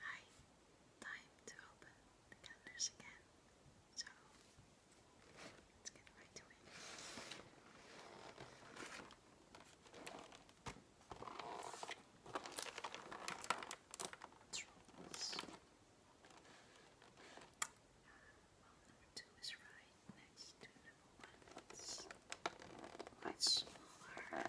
Hi, time to open calendars again. So let's get right to it. Trolls. Uh, well, number two is right next to number one. It's smaller.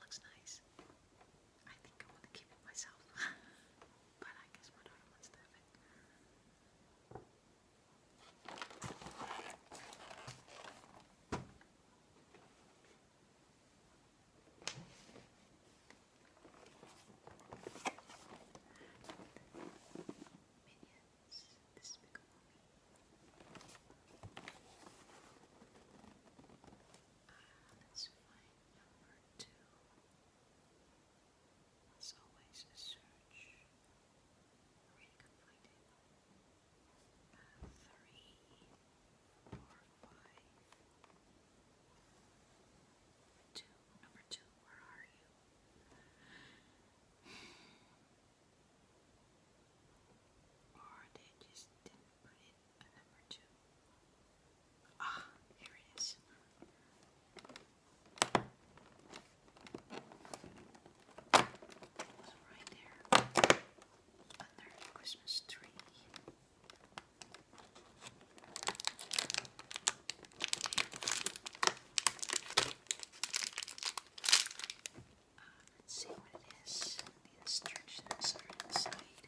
looks nice. I think I want to keep it myself. but I guess my daughter wants to have it. Minions, this is Big uh, let's find number two. As always, a search. I number two, where are you? Or they just put in a number two. Ah, here it is. was right there under the Christmas tree. Uh, let's see what it is. The instructions are inside.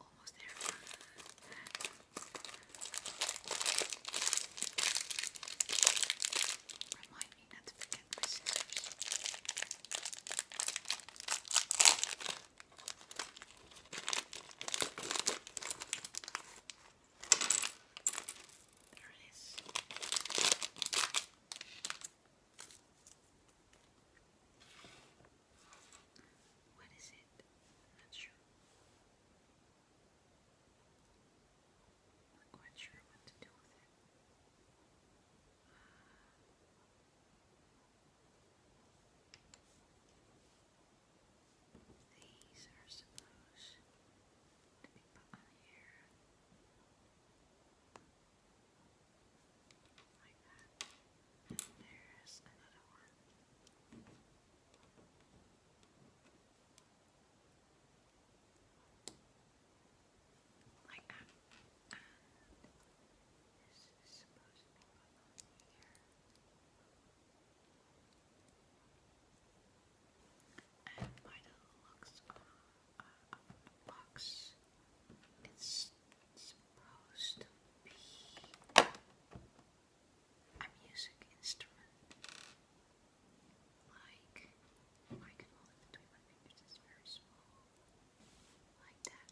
Almost there. Remind me not to forget my scissors. There it is. What is it? it. i not sure. Not quite sure what to do with it. These are supposed to be put here. Like that. There's another one. Like that. this is supposed to be on here. And by the looks of, uh, the box, it's supposed be a music instrument. Like, I can hold it between my fingers, it's very small. Like that.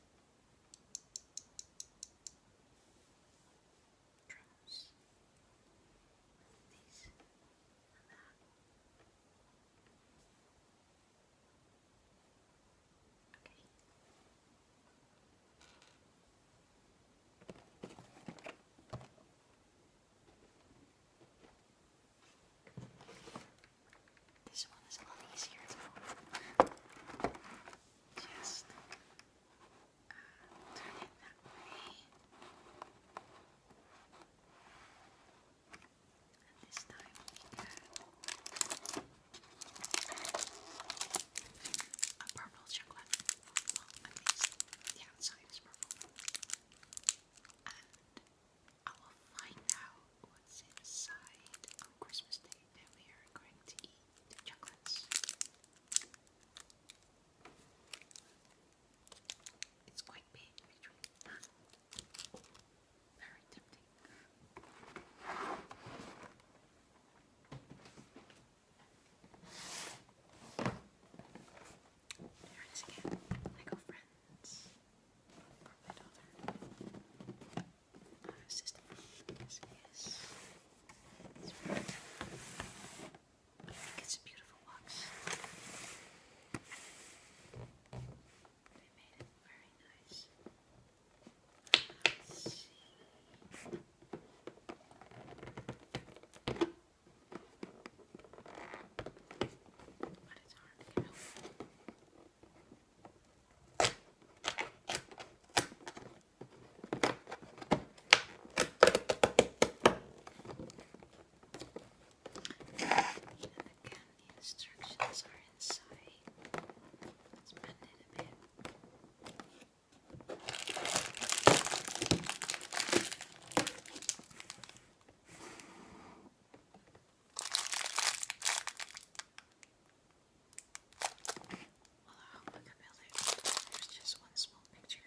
Drums. These and that. This one is a lot easier to hold. Just uh, turn it that way. And this time we can a purple chocolate. Well, at least purple. And I will find out what's inside on Christmas Day and we are going to eat the chocolates. It's quite big, actually. Very tempting. There is again. friends. my daughter. sister. Yes, yes. It's very I think it's a beautiful box. They made it very nice. But it's hard to get over. And again, the instructions are inside. Well, I hope I can build it. There's just one small picture.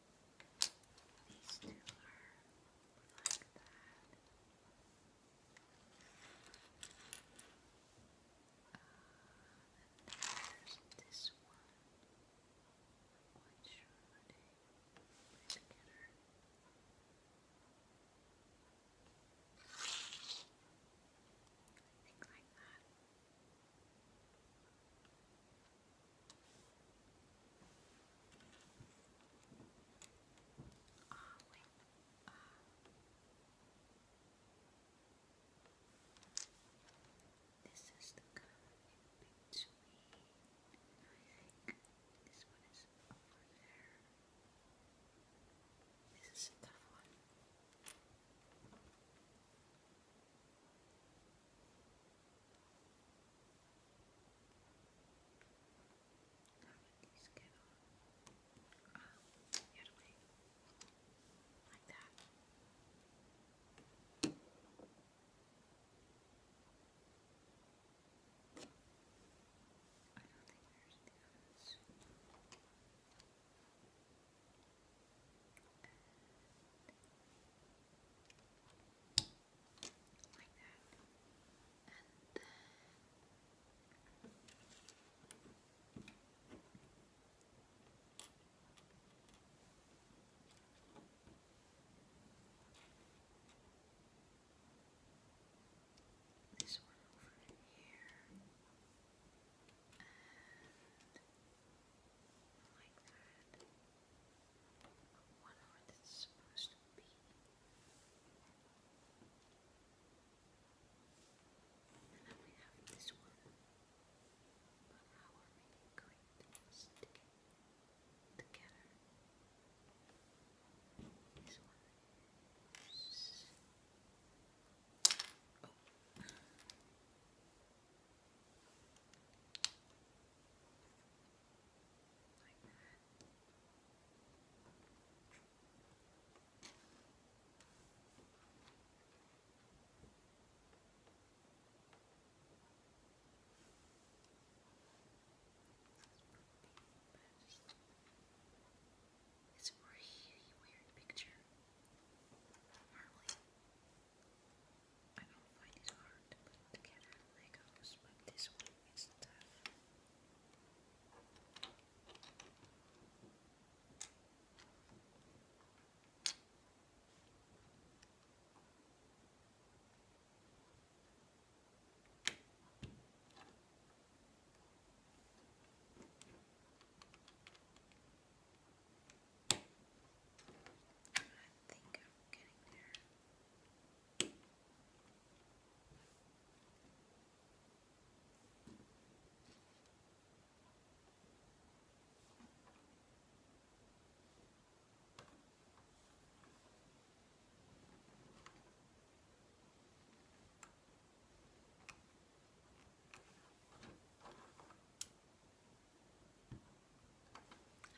Still like that. Uh, and this one. What should I put together? I think like that. Ah, wait. This is the color in between. I think this one is over there. This is a tough one. How did these get on? Um, the other way. Like that. I don't think there's the others. Like that. this one over here. And like that. I wonder what supposed to be. And then we have this one. But how are we going to stick together? This one it's a really weird picture. Normally, I don't find it hard to put Legos, but this one is tough. I think I'm getting there.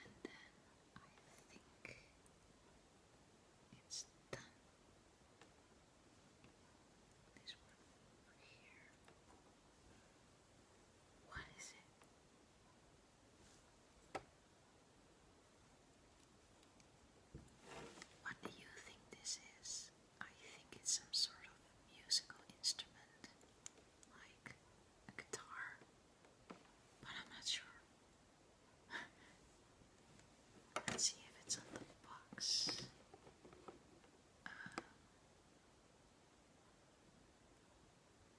And then I think it's done. This one over here. What is it? What do you think this is? I think it's some sort of musical instrument, like a guitar, but I'm not sure. Let's see if it's on the box. Uh,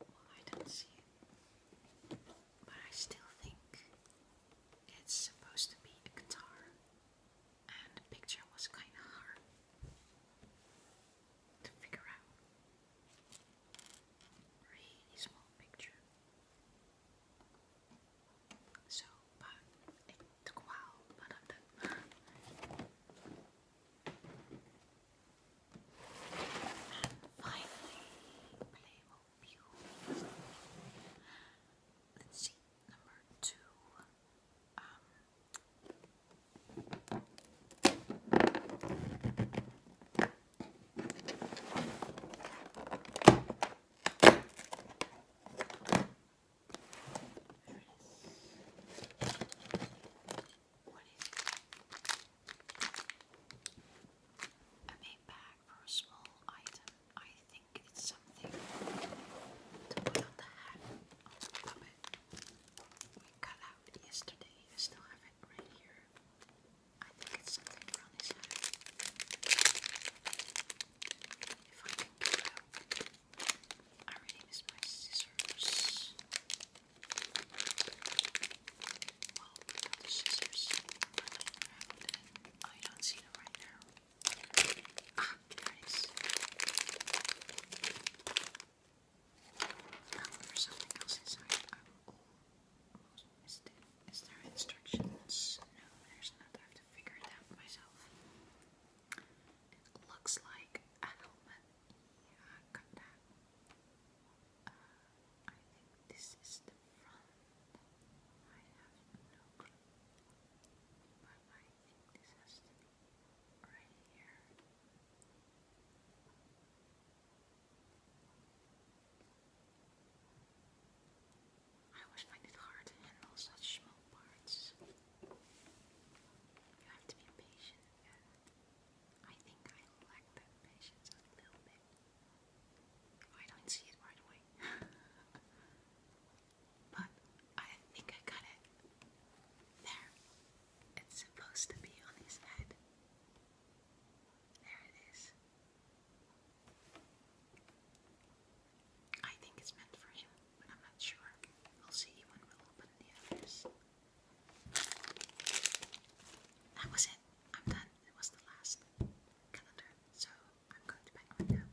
I don't see it, but I still think it's supposed to be a guitar and the picture was kind of hard to figure out. Really small picture. So, it took a while, but I'm done. and finally, Playmo Let's see, number two. Um, there bag for a small item. I think it's something to put on the hat. Oh, stop it. We cut out yesterday. I still have it right here. I think it's something Ronnie's had. If I can get out. I really miss my scissors. Well, the scissors are not around. I don't see them right now. Ah, there it is. Oh, there's something else inside. Oh, is there, is there instructions? No, there's not. I have to figure it out myself. It looks like a helmet. I think this is the front. I have no clue. This has to be right here. I always find it hard to handle such small parts. You have to be patient, I think I lack that patience a little bit. I don't see it right away. but I think I got it. There. It's supposed to be on his head. There it is. I think it's meant for him, but I'm not sure. I'll see when we open the others. That was it. I'm done. It was the last calendar, so I'm going to pack my now.